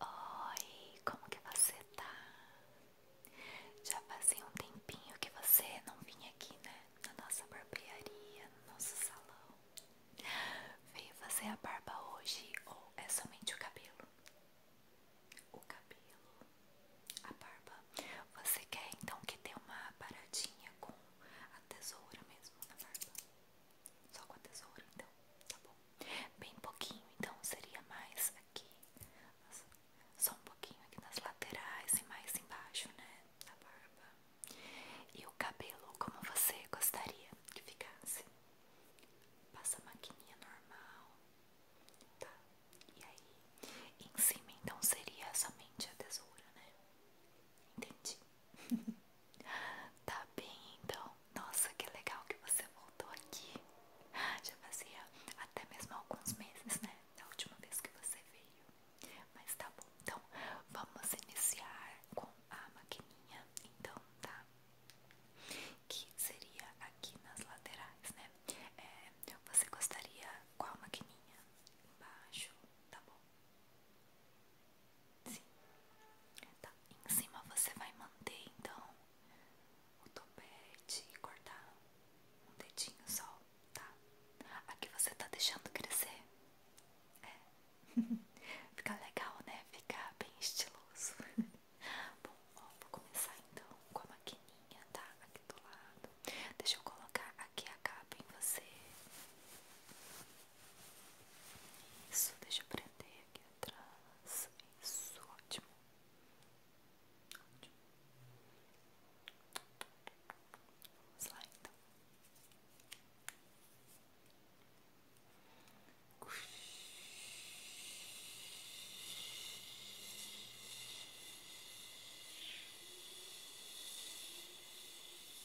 Oi, como que você tá? Já fazia um tempinho que você não vinha aqui, né? Na nossa barbearia, no nosso salão. Veio fazer a barba hoje ou é somente o cabelo? O cabelo, a barba. Você quer então que tenha uma paradinha com a tesoura mesmo na barba? Só com a tesoura, então, tá bom? Bem pouquinho, então seria mais aqui, só um pouquinho aqui nas laterais e mais embaixo, né? Da barba. E o cabelo, como você gostaria que ficasse? Passa a maquininha normal, tá? E aí, em cima então seria somente a tesoura, né? Entendi. tá bem então. Nossa, que legal que você voltou aqui. Já fazia até mesmo alguns meses, né? Da última vez que você veio. Mas tá bom. Então, vamos iniciar com a maquininha. Então, tá? Que seria aqui nas laterais, né? É, você gostaria qual maquininha? Embaixo, tá bom? Sim. Tá, em cima você vai manter então o topete cortar um dedinho só, tá? Aqui você tá deixando crescer. É. Fica legal, né? Fica bem estiloso. Bom, ó, vou começar então com a maquininha, tá? Aqui do lado. Deixa eu colocar aqui a capa em você. Isso, deixa eu prender aqui atrás. Isso, ótimo. Ótimo. Vamos lá então.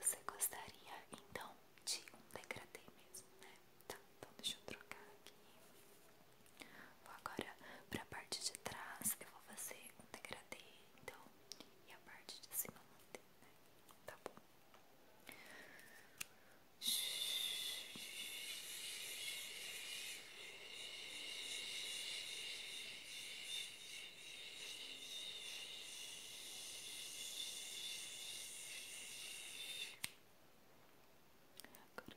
Você gostaria então de um degradê mesmo, né? Tá, então deixa eu trocar aqui. Vou agora pra parte de trás, eu vou fazer um degradê, então, e a parte de cima manter, né? Tá bom. Shhh. Agora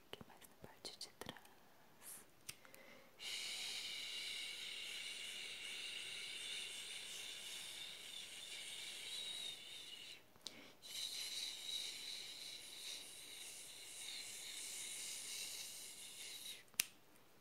aqui mais na parte de trás.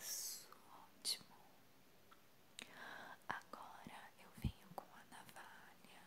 Isso, ótimo. Agora eu venho com a navalha.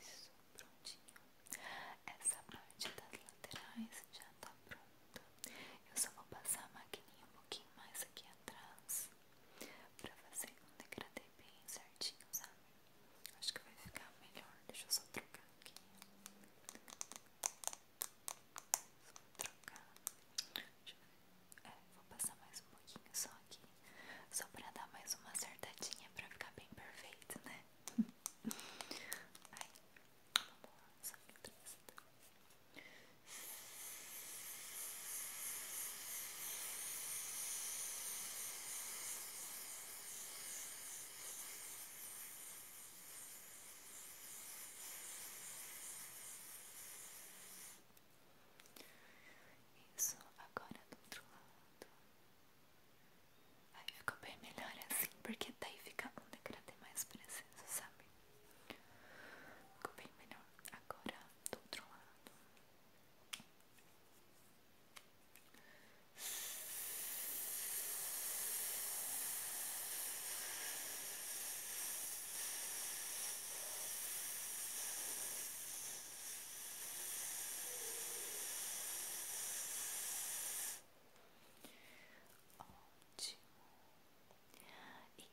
Isso, prontinho. Essa parte das laterais já tá pronta. Eu só vou passar a maquininha um pouquinho mais aqui atrás pra fazer um degradê bem certinho, sabe? Acho que vai ficar melhor. Deixa eu só trocar aqui. Vou trocar. É, vou passar mais um pouquinho só aqui. Só pra dar mais uma acertadinha pra ficar bem perfeito, né? Aí, vamos lá, só isso agora do outro lado. Aí ficou bem melhor assim, porque daí fica um ter mais presença, sabe? Ficou bem melhor. Agora, do outro lado.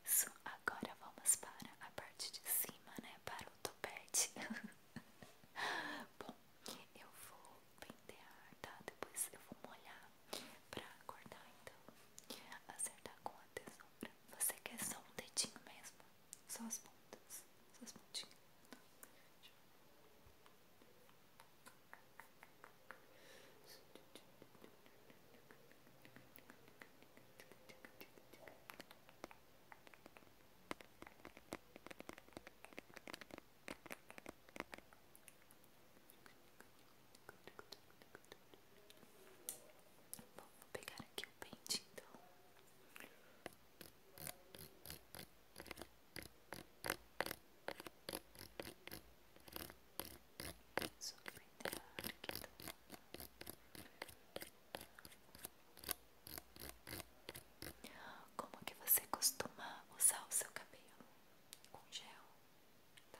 Isso, agora vamos para a parte de cima, né? Para o topete. Bom, eu vou pentear, tá? Depois eu vou molhar pra cortar então. Acertar com a tesoura. Você quer só um dedinho mesmo? Só as pontas. Só as pontinhas. Bom, vou pegar aqui pente, então. Como que você costuma usar o seu cabelo? Com gel, tá?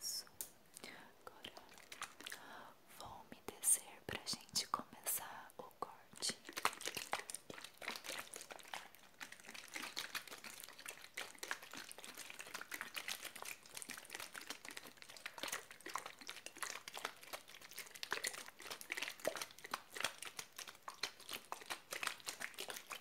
Isso. Agora vou me descer para gente começar o corte.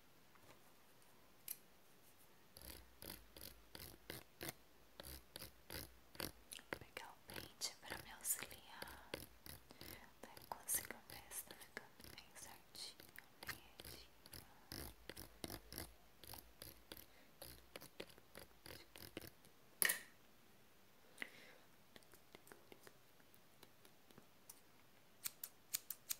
Vou pegar o pente para me auxiliar. Daí tá, eu consigo ver se tá ficando bem certinho, alinhadinho. Vou Aqui atrás. Aqui atrás.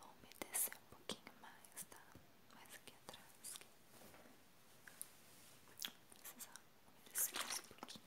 Vou me descer um pouquinho mais, tá? Mais aqui atrás. Aqui. Vou precisar mais um pouquinho.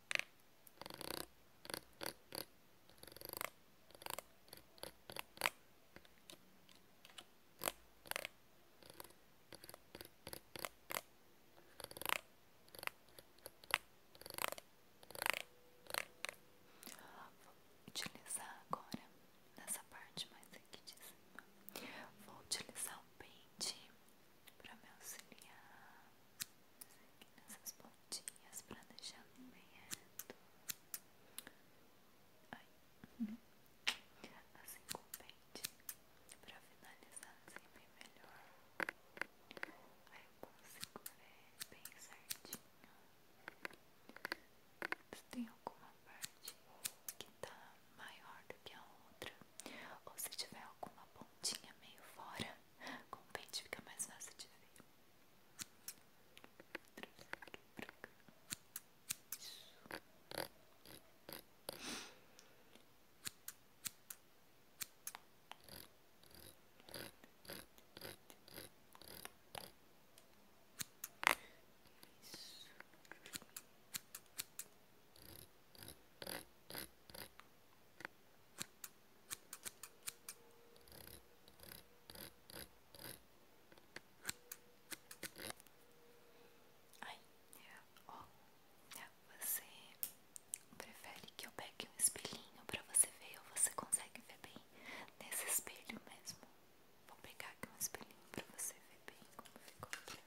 Vou utilizar agora nessa parte mais aqui de cima. Vou utilizar o pente para me auxiliar nessas pontinhas para deixar bem reto. Ai. Assim com o pente para finalizar assim bem melhor. Aí eu consigo ver bem certinho. Se tem alguma parte que tá maior do que a outra, ou se tiver alguma pontinha meio fora, com o pente fica mais fácil de ver. Trouxe aqui pra cá. Isso. Isso. Ai, ó, oh, você prefere que eu pegue um espelhinho pra você ver ou você consegue ver bem nesse espelho mesmo? Vou pegar aqui um espelhinho pra você ver bem como ficou aqui.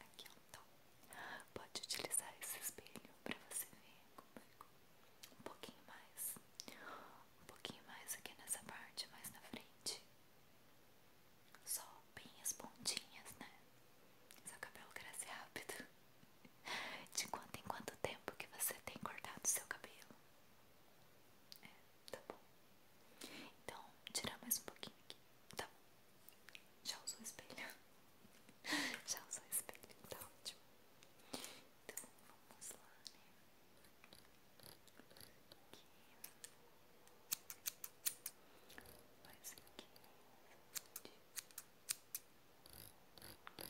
Aqui é Pode utilizar esse espelho para você ver como é Um pouquinho mais. Um pouquinho mais aqui nessa parte, mais na frente. Só bem as pontinhas, né? Seu cabelo cresce rápido. De quanto em quanto tempo que você tem cortado o seu cabelo? É, tá bom. Então, tirar mais um pouquinho aqui. Tá bom. Já usou o espelho? Já usou o espelho, tá ótimo. Então, vamos lá, né? Aqui. Mais aqui. Bem pouquinho. Tá.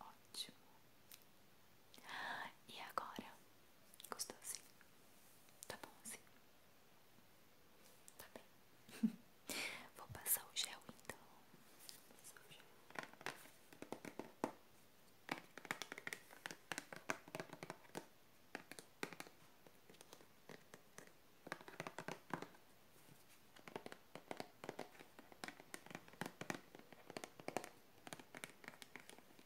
Ottimo. E agora? Gostou sim? Tá bom sim? Tá bem. Vou passar o gel então.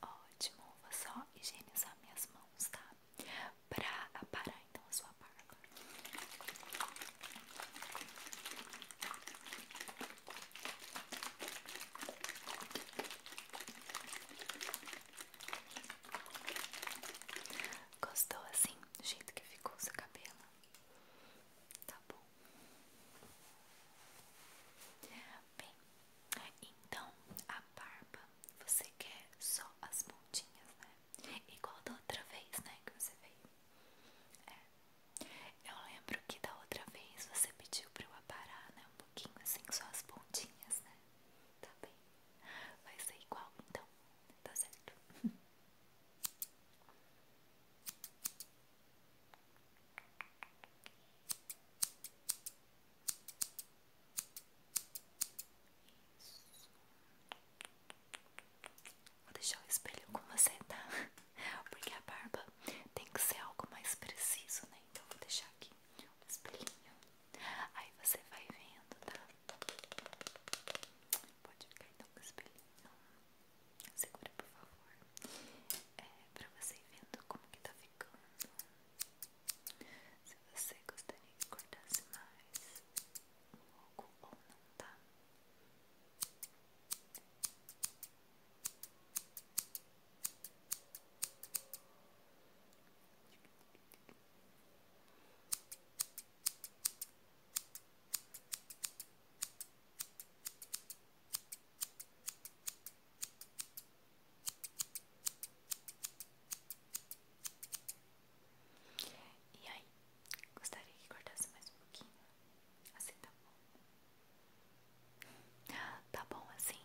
Ótimo, vou só higienizar minhas mãos, tá? Pra aparar então a sua barba. Gostou assim do jeito que ficou o seu cabelo? Tá bom. Bem, então a barba você quer só as pontinhas, né? Igual da outra vez, né? Que você veio. É. Eu lembro que da outra vez você pediu pra eu aparar, né? Um pouquinho assim, só as pontinhas, né? Tá bem. Vai ser igual então. Tá certo. Isso. Vou deixar o espelho com você, tá? Porque a barba tem que ser algo mais preciso, né? Então vou deixar aqui o espelhinho. Aí você vai vendo, tá? Pode ficar então com o espelhinho. Segura, por favor. É pra você ir vendo como que tá ficando. Se você gostaria que cortasse mais um pouco ou não, tá? E aí, gostaria que cortasse mais um pouquinho. Assim tá bom. Tá bom assim.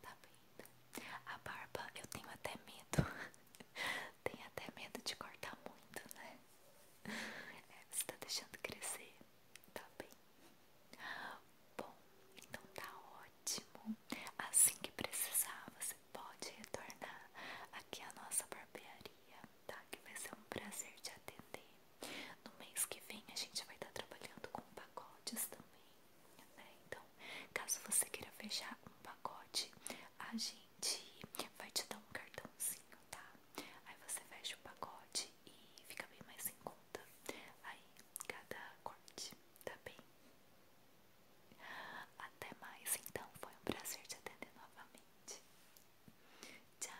Tá bem. A barba eu tenho até medo. tenho até medo de cortar muito, né? É, você tá deixando crescer. Tá bem. Bom, então tá ótimo. Assim que precisar, você pode retornar aqui à nossa barbearia, tá? Que vai ser um prazer te atender. No mês que vem a gente vai estar trabalhando com pacotes também. Né? Então, caso você queira fechar um pacote, a gente vai te dar um cartãozinho, tá? Aí você fecha o pacote e fica bem mais em conta. Aí, cada corte, tá bem? Até mais, então. Foi um prazer te atender novamente. Tchau!